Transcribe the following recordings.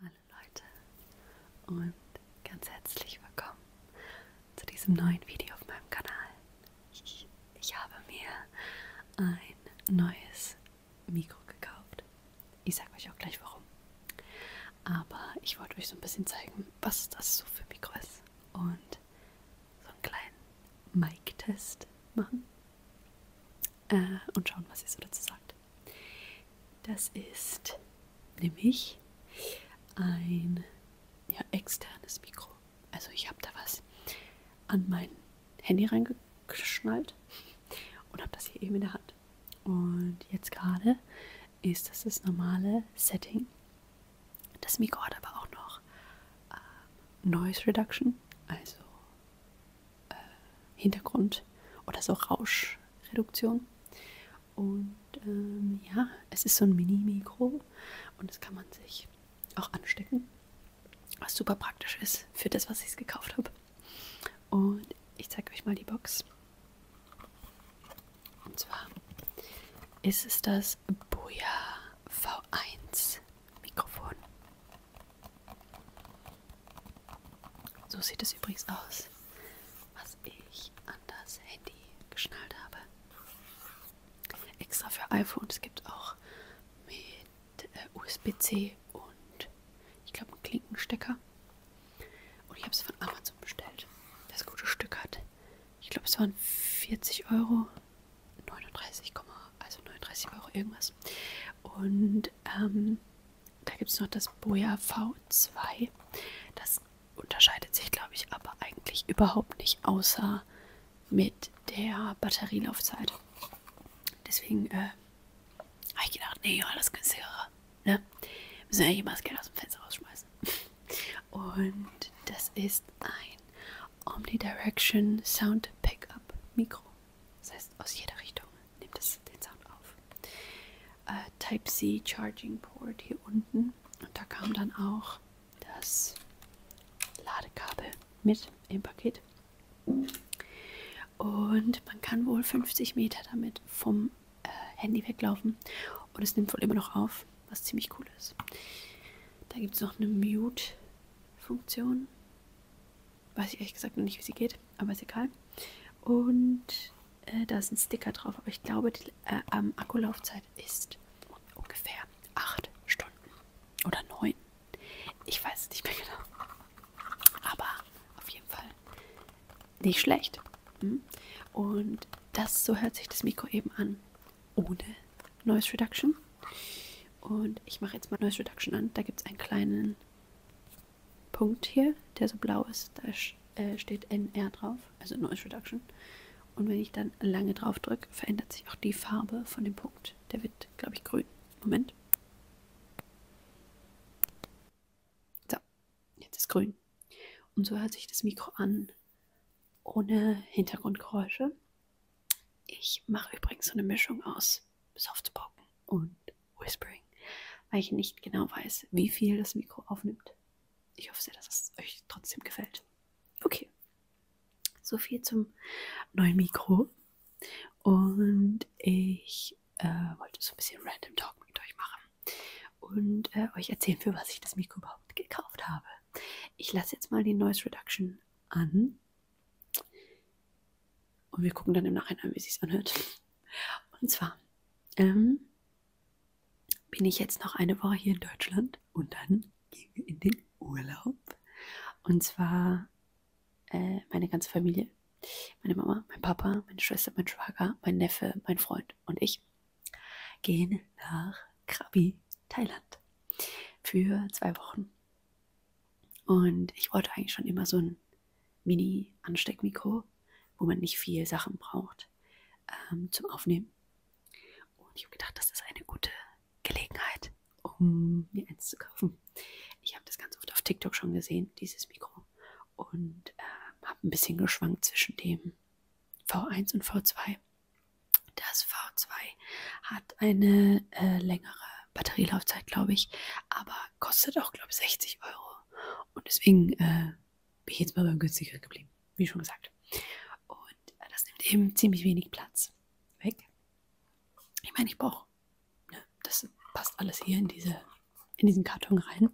Hallo Leute und ganz herzlich willkommen zu diesem neuen Video auf meinem Kanal. Ich, ich habe mir ein neues Mikro gekauft. Ich sage euch auch gleich warum. Aber ich wollte euch so ein bisschen zeigen, was das so für Mikro ist und so einen kleinen Mic-Test machen äh, und schauen, was ihr so dazu sagt. Das ist nämlich ein ja, externes Mikro. Also ich habe da was an mein Handy reingeschnallt und habe das hier eben in der Hand. Und jetzt gerade ist das das normale Setting. Das Mikro hat aber auch noch äh, Noise Reduction, also äh, Hintergrund oder so Rauschreduktion. Und ähm, ja, es ist so ein Mini-Mikro und das kann man sich auch anstecken, was super praktisch ist für das, was ich gekauft habe. Und ich zeige euch mal die Box. Und zwar ist es das Boya V1 Mikrofon. So sieht es übrigens aus, was ich an das Handy geschnallt habe. Extra für iPhones gibt auch mit äh, USB-C und ich glaube einen Klinkenstecker. Und ich habe es von Amazon bestellt. Das gute Stück hat. Ich glaube, es waren 40 Euro. 39, also 39 Euro irgendwas. Und ähm, da gibt es noch das Boja V2. Das unterscheidet sich, glaube ich, aber eigentlich überhaupt nicht, außer mit der Batterielaufzeit. Deswegen äh, habe ich gedacht, nee, alles günstiger. Ne? Müssen ja jemals eh Geld aus dem Fenster rausschmeißen. Und das ist ein Omnidirection Sound Pickup Mikro. Das heißt, aus jeder Richtung nimmt es den Sound auf. Äh, Type-C Charging Port hier unten. Und da kam dann auch das Ladekabel mit im Paket. Und man kann wohl 50 Meter damit vom äh, Handy weglaufen. Und es nimmt wohl immer noch auf, was ziemlich cool ist. Da gibt es noch eine Mute-Funktion. Weiß ich ehrlich gesagt noch nicht, wie sie geht, aber ist egal. Und äh, da ist ein Sticker drauf, aber ich glaube, die äh, ähm, Akkulaufzeit ist ungefähr 8 Stunden oder 9. Ich weiß es nicht mehr genau. Aber auf jeden Fall nicht schlecht. Hm? Und das, so hört sich das Mikro eben an, ohne Noise Reduction. Und ich mache jetzt mal Noise Reduction an. Da gibt es einen kleinen Punkt hier, der so blau ist, da äh, steht NR drauf, also Noise Reduction. Und wenn ich dann lange drauf drücke, verändert sich auch die Farbe von dem Punkt. Der wird, glaube ich, grün. Moment. So, jetzt ist grün. Und so hört sich das Mikro an, ohne Hintergrundgeräusche. Ich mache übrigens so eine Mischung aus Softpocken und Whispering, weil ich nicht genau weiß, wie viel das Mikro aufnimmt. Ich hoffe sehr, dass es euch trotzdem gefällt. Okay. So viel zum neuen Mikro. Und ich äh, wollte so ein bisschen Random Talk mit euch machen und äh, euch erzählen, für was ich das Mikro überhaupt gekauft habe. Ich lasse jetzt mal die Noise Reduction an und wir gucken dann im Nachhinein, wie sich's anhört. Und zwar ähm, bin ich jetzt noch eine Woche hier in Deutschland und dann gehen wir in den Urlaub. Und zwar äh, meine ganze Familie, meine Mama, mein Papa, meine Schwester, mein Schwager, mein Neffe, mein Freund und ich gehen nach Krabi, Thailand für zwei Wochen. Und ich wollte eigentlich schon immer so ein Mini-Ansteckmikro, wo man nicht viel Sachen braucht ähm, zum Aufnehmen. Und ich habe gedacht, das ist eine gute Gelegenheit, um mir eins zu kaufen. Ich habe das ganz oft auf TikTok schon gesehen, dieses Mikro. Und äh, habe ein bisschen geschwankt zwischen dem V1 und V2. Das V2 hat eine äh, längere Batterielaufzeit, glaube ich. Aber kostet auch, glaube ich, 60 Euro. Und deswegen äh, bin ich jetzt mal beim günstigeren geblieben, wie schon gesagt. Und äh, das nimmt eben ziemlich wenig Platz weg. Ich meine, ich brauche, ne, das passt alles hier in, diese, in diesen Karton rein.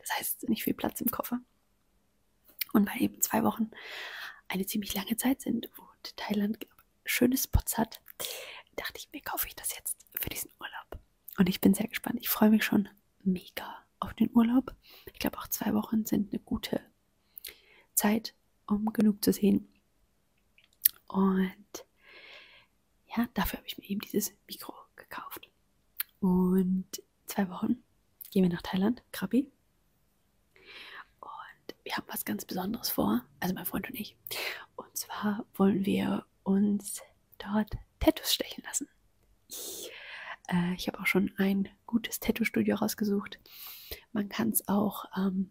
Das heißt, nicht viel Platz im Koffer. Und weil eben zwei Wochen eine ziemlich lange Zeit sind, wo Thailand schöne Spots hat, dachte ich mir, kaufe ich das jetzt für diesen Urlaub. Und ich bin sehr gespannt. Ich freue mich schon mega auf den Urlaub. Ich glaube, auch zwei Wochen sind eine gute Zeit, um genug zu sehen. Und ja, dafür habe ich mir eben dieses Mikro gekauft. Und zwei Wochen gehen wir nach Thailand, Krabi. Und wir haben was ganz Besonderes vor, also mein Freund und ich. Und zwar wollen wir uns dort Tattoos stechen lassen. Ich, äh, ich habe auch schon ein gutes Tattoo-Studio rausgesucht. Man kann es auch, ähm,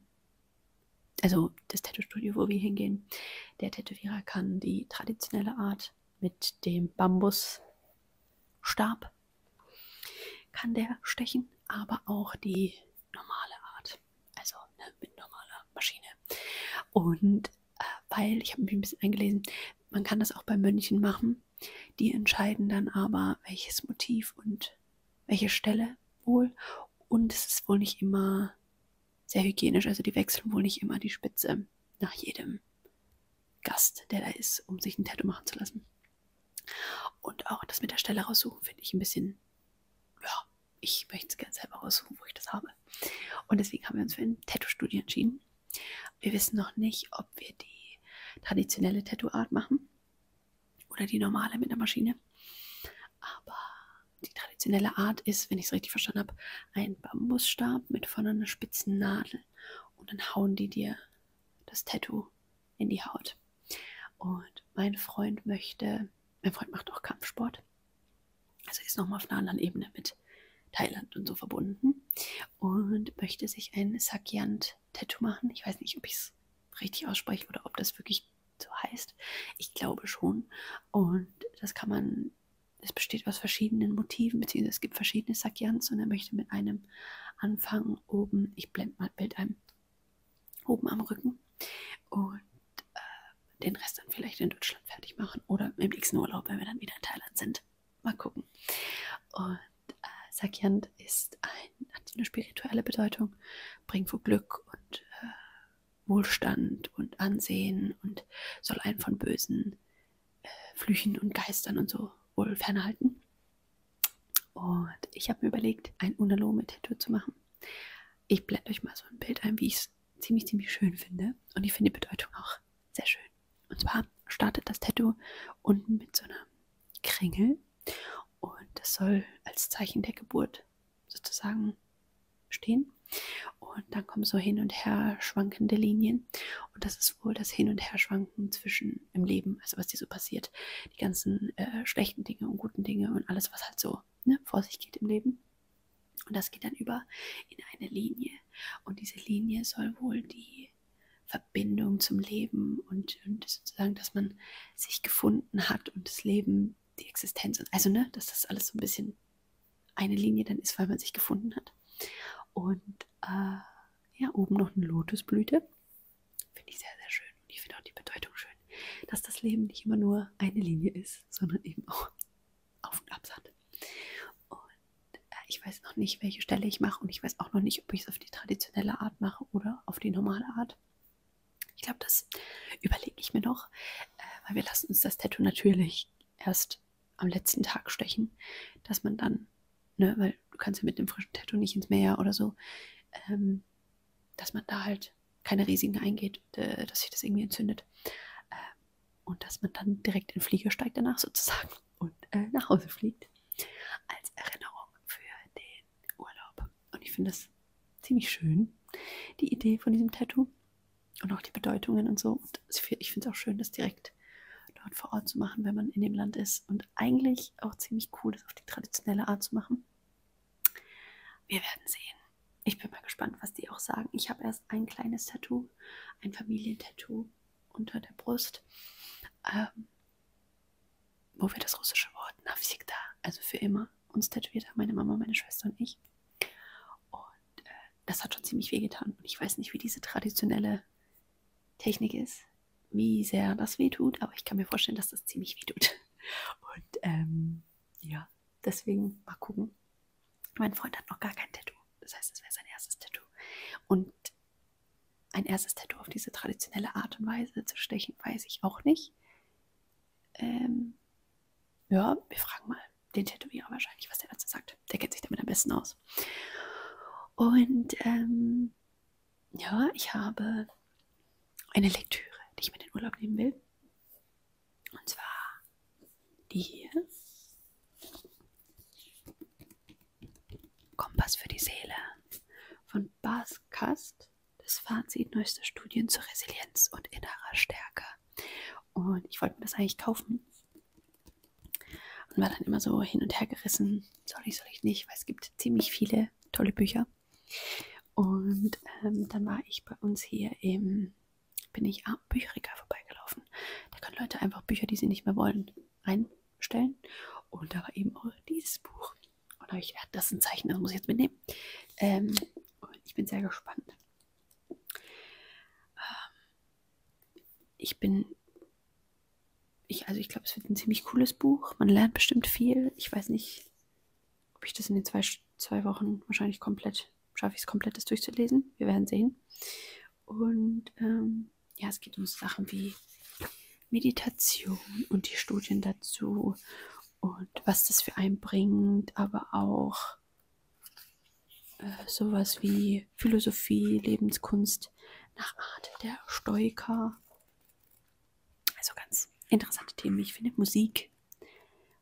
also das Tattoo-Studio, wo wir hingehen, der Tätowierer kann die traditionelle Art mit dem Bambusstab kann der stechen, aber auch die normale Art. Also ne, mit normaler Maschine. Und äh, weil, ich habe mich ein bisschen eingelesen, man kann das auch bei Mönchen machen. Die entscheiden dann aber, welches Motiv und welche Stelle wohl. Und es ist wohl nicht immer sehr hygienisch. Also die wechseln wohl nicht immer die Spitze nach jedem Gast, der da ist, um sich ein Tattoo machen zu lassen. Und auch das mit der Stelle raussuchen finde ich ein bisschen, ja, ich möchte es gerne selber raussuchen, wo ich das habe. Und deswegen haben wir uns für ein Tattoo-Studio entschieden. Wir wissen noch nicht, ob wir die traditionelle Tattoo-Art machen oder die normale mit der Maschine. Aber die traditionelle Art ist, wenn ich es richtig verstanden habe, ein Bambusstab mit vorne einer spitzen Nadel und dann hauen die dir das Tattoo in die Haut. Und mein Freund möchte, mein Freund macht auch Kampfsport. Also ist nochmal auf einer anderen Ebene mit Thailand und so verbunden. Und möchte sich ein Sakyant-Tattoo machen. Ich weiß nicht, ob ich es richtig ausspreche oder ob das wirklich so heißt. Ich glaube schon. Und das kann man, es besteht aus verschiedenen Motiven, beziehungsweise es gibt verschiedene Sakyans und er möchte mit einem anfangen oben. Ich blende mal mit einem oben am Rücken und äh, den Rest dann vielleicht in Deutschland fertig machen oder im nächsten Urlaub, wenn wir dann wieder in Thailand sind. Mal gucken. Und äh, Sakyant ist ein, hat eine spirituelle Bedeutung, bringt vor Glück und äh, Wohlstand und Ansehen und soll einen von bösen äh, Flüchen und Geistern und so wohl fernhalten. Und ich habe mir überlegt, ein Unalo mit Tattoo zu machen. Ich blende euch mal so ein Bild ein, wie ich es ziemlich, ziemlich schön finde. Und ich finde die Bedeutung auch sehr schön. Und zwar startet das Tattoo unten mit so einer Kringel. Und das soll als Zeichen der Geburt sozusagen stehen. Und dann kommen so hin und her schwankende Linien. Und das ist wohl das Hin und Her schwanken zwischen Schönen im Leben, also was dir so passiert. Die ganzen äh, schlechten Dinge und guten Dinge und alles, was halt so ne, vor sich geht im Leben. Und das geht dann über in eine Linie. Und diese Linie soll wohl die Verbindung zum Leben und, und sozusagen, dass man sich gefunden hat und das Leben, die Existenz und also, ne, dass das alles so ein bisschen eine Linie dann ist, weil man sich gefunden hat. Und äh, ja, oben noch eine Lotusblüte. Finde ich sehr, sehr schön. Und ich finde auch die Bedeutung schön, dass das Leben nicht immer nur eine Linie ist, sondern eben auch auf und ab hat. Und äh, ich weiß noch nicht, welche Stelle ich mache und ich weiß auch noch nicht, ob ich es auf die traditionelle Art mache oder auf die normale Art. Ich glaube, das überlege ich mir noch, äh, weil wir lassen uns das Tattoo natürlich erst am letzten Tag stechen, dass man dann ne, weil du kannst ja mit einem frischen Tattoo nicht ins Meer oder so, ähm, dass man da halt keine Risiken eingeht, äh, dass sich das irgendwie entzündet. Äh, und dass man dann direkt in den Flieger steigt danach sozusagen und äh, nach Hause fliegt. Als Erinnerung für den Urlaub. Und ich finde das ziemlich schön, die Idee von diesem Tattoo. Und auch die Bedeutungen und so. Und ich finde es auch schön, dass direkt Kontakt dort vor Ort zu machen, wenn man in dem Land ist. Und eigentlich auch ziemlich cool, das auf die traditionelle Art zu machen. Wir werden sehen. Ich bin mal gespannt, was die auch sagen. Ich habe erst ein kleines Tattoo, ein Familientattoo unter der Brust, ähm, wo wir das russische Wort Navsikda, also für immer, uns tätowiert haben, meine Mama, meine Schwester und ich. Und äh, das hat schon ziemlich wehgetan. Und ich weiß nicht, wie diese traditionelle Technik ist, wie sehr das wehtut, aber ich kann mir vorstellen, dass das ziemlich wehtut. Und ähm, ja, deswegen mal gucken. Mein Freund hat noch gar kein Tattoo. Das heißt, es wäre sein erstes Tattoo. Und ein erstes Tattoo auf diese traditionelle Art und Weise zu stechen, weiß ich auch nicht. Ähm, ja, wir fragen mal den Tätowierer wahrscheinlich, was der dazu sagt. Der kennt sich damit am besten aus. Und ähm, ja, ich habe eine Lektüre, die ich mit in den Urlaub nehmen will. Und zwar die hier. Kompass für die Seele von Bas Kast. Das Fazit neuester Studien zur Resilienz und innerer Stärke. Und ich wollte mir das eigentlich kaufen, und war dann immer so hin und her gerissen, soll ich, soll ich nicht, weil es gibt ziemlich viele tolle Bücher. Und ähm, dann war ich bei uns hier im, bin ich am Bücherregal vorbeigelaufen. Da können Leute einfach Bücher, die sie nicht mehr wollen, reinstellen. Und da war eben auch dieses Buch. Und da habe ich gedacht, das ist ein Zeichen, das muss ich jetzt mitnehmen. Ähm, ich bin sehr gespannt. Ähm, ich bin, ich, also ich glaube, es wird ein ziemlich cooles Buch. Man lernt bestimmt viel. Ich weiß nicht, ob ich das in den zwei, zwei Wochen wahrscheinlich komplett, schaffe ich es komplett, das durchzulesen. Wir werden sehen. Und ähm, ja, es geht um Sachen wie Meditation und die Studien dazu und was das für einen bringt, aber auch äh, sowas wie die Philosophie, Lebenskunst nach Art der Stoiker. Also ganz interessante Themen. Ich finde Musik.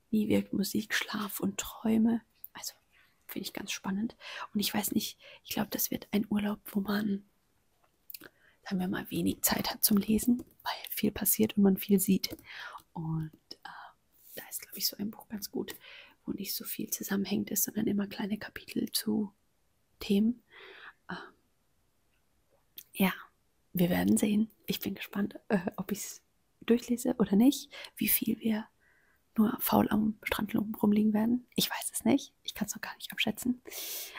Wie wirkt Musik, Schlaf und Träume? Also finde ich ganz spannend. Und ich weiß nicht, ich glaube, das wird ein Urlaub, wo man, sagen wir mal, wenig Zeit hat zum Lesen, weil viel passiert und man viel sieht. Und äh, da ist, glaube ich, so ein Buch ganz gut wo nicht so viel zusammenhängend ist, sondern immer kleine Kapitel zu Themen. Ähm, ja, wir werden sehen. Ich bin gespannt, äh, ob ich es durchlese oder nicht, wie viel wir nur faul am Strand rumliegen werden. Ich weiß es nicht. Ich kann es noch gar nicht abschätzen.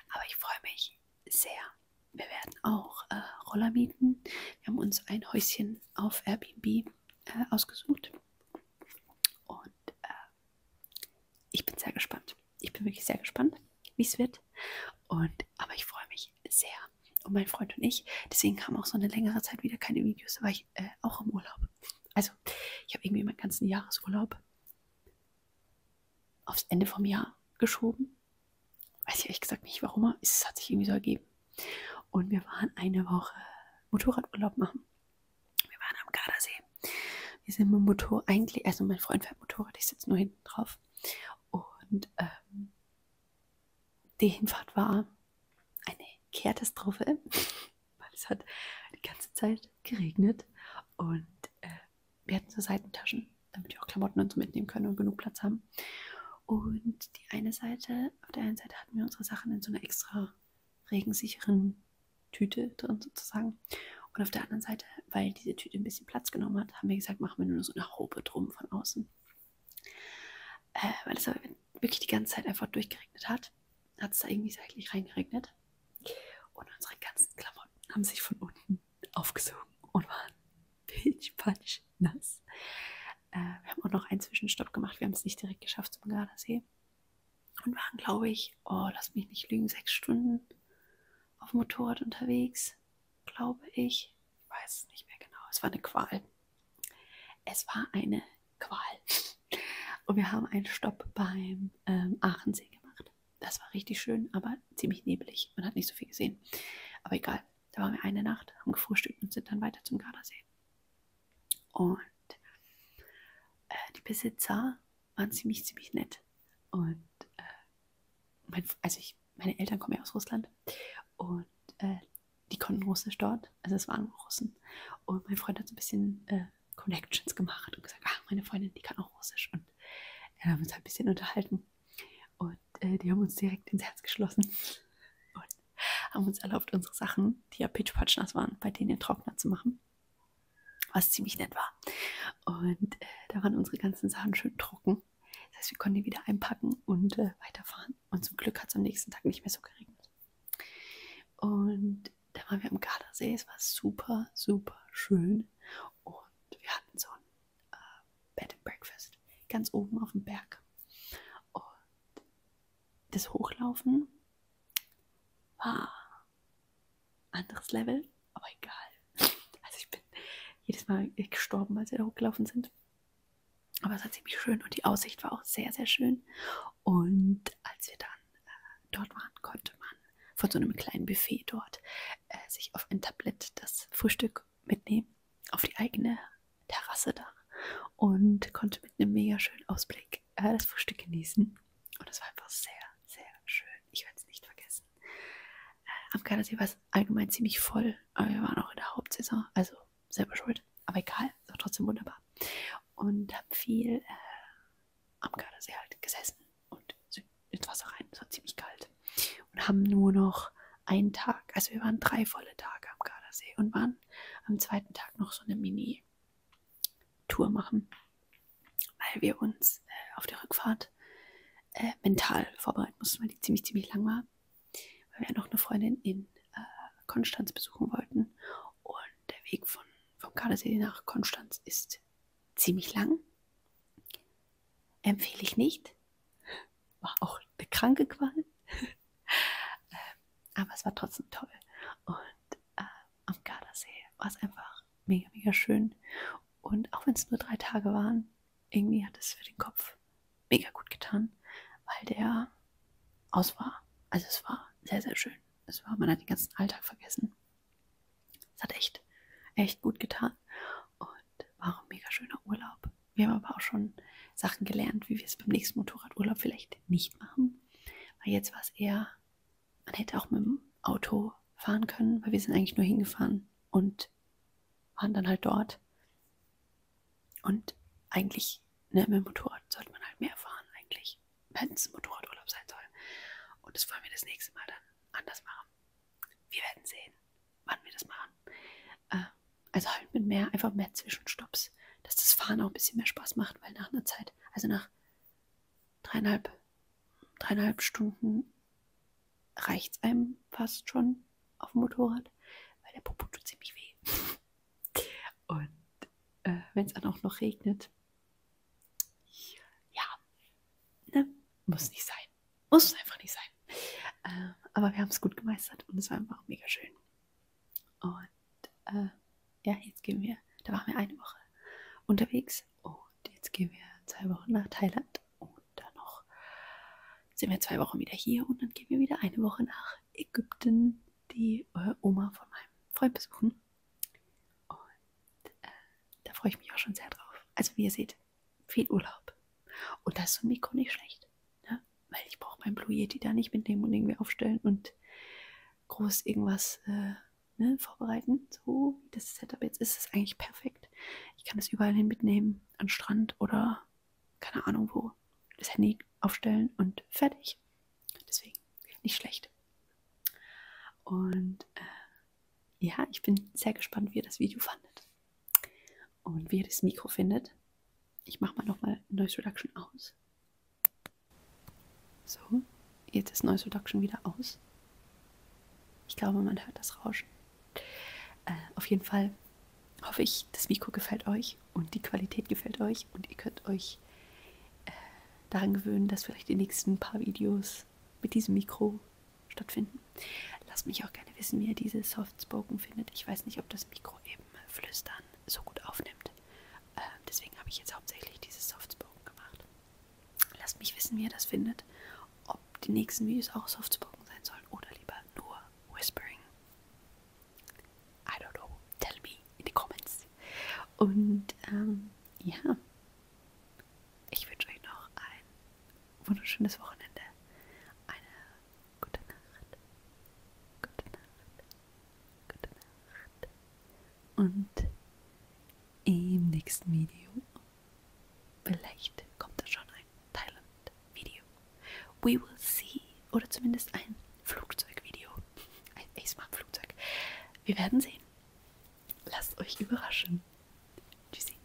Aber ich freue mich sehr. Wir werden auch äh, Roller mieten. Wir haben uns ein Häuschen auf Airbnb äh, ausgesucht. Und äh, ich bin sehr gespannt. Ich bin wirklich sehr gespannt, wie es wird. Und, aber ich freue mich sehr. Und mein Freund und ich, deswegen kam auch so eine längere Zeit wieder keine Videos, da war ich äh, auch im Urlaub. Also, ich habe irgendwie meinen ganzen Jahresurlaub aufs Ende vom Jahr geschoben. Weiß ich ehrlich gesagt nicht, warum. Es hat sich irgendwie so ergeben. Und wir waren eine Woche Motorradurlaub machen. Wir waren am Gardasee. Wir sind mit dem Motor eigentlich, also mein Freund fährt Motorrad, ich sitze nur hinten drauf. Und ähm, die Hinfahrt war eine Katastrophe, weil es hat die ganze Zeit geregnet und äh, wir hatten so Seitentaschen, damit wir auch Klamotten und so mitnehmen können und genug Platz haben. Und die eine Seite, auf der einen Seite hatten wir unsere Sachen in so einer extra regensicheren Tüte drin sozusagen. Und auf der anderen Seite, weil diese Tüte ein bisschen Platz genommen hat, haben wir gesagt, machen wir nur so eine Haube drum von außen. Äh, weil es aber wirklich die ganze Zeit einfach durchgeregnet hat, hat es da irgendwie seitlich reingeregnet. Und unsere ganzen Klamotten haben sich von unten aufgesogen und waren pitschpatsch nass. Äh, wir haben auch noch einen Zwischenstopp gemacht. Wir haben es nicht direkt geschafft zum Gardasee und waren, glaube ich, oh, lass mich nicht lügen, sechs Stunden auf dem Motorrad unterwegs, glaube ich. Ich weiß es nicht mehr genau. Es war eine Qual. Es war eine Qual. Und wir haben einen Stopp beim ähm, Aachensee gemacht. Das war richtig schön, aber ziemlich nebelig. Man hat nicht so viel gesehen. Aber egal, da waren wir eine Nacht, haben gefrühstückt und sind dann weiter zum Gardasee. Und äh, die Besitzer waren ziemlich, ziemlich nett. Und äh, mein, also ich, meine Eltern kommen ja aus Russland und äh, die konnten Russisch dort, also es waren Russen. Und mein Freund hat so ein bisschen äh, Connections gemacht und gesagt, ah, meine Freundin, die kann auch Russisch. Und dann haben wir uns halt ein bisschen unterhalten. Und äh, die haben uns direkt ins Herz geschlossen. Und haben uns erlaubt, unsere Sachen, die ja pitchpatschnass waren, bei denen Trockner zu machen. Was ziemlich nett war. Und äh, da waren unsere ganzen Sachen schön trocken. Das heißt, wir konnten die wieder einpacken und äh, weiterfahren. Und zum Glück hat es am nächsten Tag nicht mehr so geregnet. Und da waren wir am Gardasee. Es war super, super schön. Und wir hatten so ein äh, Bed and Breakfast ganz oben auf dem Berg. Und das Hochlaufen war anderes Level, aber egal. Also ich bin jedes Mal gestorben, als wir da hochgelaufen sind. Aber es war ziemlich schön und die Aussicht war auch sehr, sehr schön. Und als wir dann äh, dort waren, konnte man von so einem kleinen Buffet dort äh, sich auf ein Tablett das Frühstück mitnehmen auf die eigene Terrasse da und konnte mit einem mega schönen Ausblick äh, das Frühstück genießen. Und es war einfach sehr, sehr schön. Ich werde es nicht vergessen. Äh, am Gardasee war es allgemein ziemlich voll, aber wir waren auch in der Hauptsaison, also selber schuld. Aber egal, es war trotzdem wunderbar. Und habe viel äh, am Gardasee halt gesessen und sind ins Wasser rein. Es war ziemlich kalt. Und haben nur noch einen Tag. Also wir waren drei volle Tage am Gardasee und waren am zweiten Tag noch so eine Mini-Tour machen, weil wir uns äh, auf der Rückfahrt äh, mental vorbereiten mussten, weil die ziemlich, ziemlich lang war, weil wir noch eine Freundin in äh, Konstanz besuchen wollten. Und der Weg von, vom Gardasee nach Konstanz ist ziemlich lang. Empfehle ich nicht. War auch eine kranke Qual. Ähm, aber es war trotzdem toll. Und äh, am Gardasee war es einfach mega, mega schön. Und auch wenn es nur drei Tage waren, irgendwie hat es für den Kopf mega gut getan, weil der aus war. Also es war sehr, sehr schön. Es war, man hat den ganzen Alltag vergessen. Es hat echt, echt gut getan und war ein mega schöner Urlaub. Wir haben aber auch schon Sachen gelernt, wie wir es beim nächsten Motorradurlaub vielleicht nicht machen. Weil jetzt war es eher, man hätte auch mit dem Auto fahren können, weil wir sind eigentlich nur hingefahren und waren dann halt dort. Und eigentlich ne, mit dem Motorrad sollte man halt mehr fahren, eigentlich. Hätte es ein Motorradurlaub sein sollen. Und das wollen wir das nächste Mal dann anders machen. Wir werden sehen wann wir das machen. Äh, also halt mit mehr, einfach mehr Zwischenstopps, dass das Fahren auch ein bisschen mehr Spaß macht, weil nach einer Zeit, also nach dreieinhalb, dreieinhalb Stunden reicht es einem fast schon auf dem Motorrad, weil der Popo tut ziemlich weh. Und äh, wenn es dann auch noch regnet, ja, ne? muss nicht sein. Muss einfach nicht sein sein. Ähm, aber wir haben es gut gemeistert und es war einfach mega schön. Und äh, ja, jetzt gehen wir, da waren wir eine Woche unterwegs und jetzt gehen wir zwei Wochen nach Thailand und dann noch sind wir zwei Wochen wieder hier und dann gehen wir wieder eine Woche nach Ägypten die äh, Oma von meinem Freund besuchen. Und äh, da freue ich mich auch schon sehr drauf. Also wie ihr seht, viel Urlaub. Und da ist so ein Mikro nicht schlecht. Ne? Weil ich brauche mein Blue Yeti da nicht mitnehmen und irgendwie aufstellen und groß irgendwas äh, ne, vorbereiten. So wie das Setup jetzt ist, ist eigentlich perfekt. Ich kann es überall hin mitnehmen, an Strand oder keine Ahnung wo. Das Handy aufstellen und fertig. Deswegen nicht schlecht. Und äh, ja, ich bin sehr gespannt, wie ihr das Video fandet. Und wie ihr das Mikro findet, ich mache mal nochmal Noise Reduction aus. So, jetzt ist Noise Reduction wieder aus. Ich glaube, man hört das Rauschen. Äh, auf jeden Fall hoffe ich, das Mikro gefällt euch und die Qualität gefällt euch und ihr könnt euch äh, daran gewöhnen, dass vielleicht die nächsten paar Videos mit diesem Mikro stattfinden. Lasst mich auch gerne wissen, wie ihr diese Softspoken findet. Ich weiß nicht, ob das Mikro eben flüstern so gut aufnimmt. Äh, deswegen habe ich jetzt hauptsächlich dieses Softspoken gemacht. Lasst mich wissen, wie ihr das findet. Ob die nächsten Videos auch Softspoken sein sollen oder lieber nur Whispering. I don't know. Tell me in the comments. Und ähm, ja, ich wünsche euch noch ein wunderschönes Wochenende, eine Gute Nacht. Gute Nacht. Gute Nacht. Und im nächsten Video, vielleicht kommt da schon ein Thailand-Video. We will see. Oder zumindest ein Flugzeugvideo. Ein ASMR-Flugzeug. Wir werden sehen. Lasst euch überraschen. Tschüssi.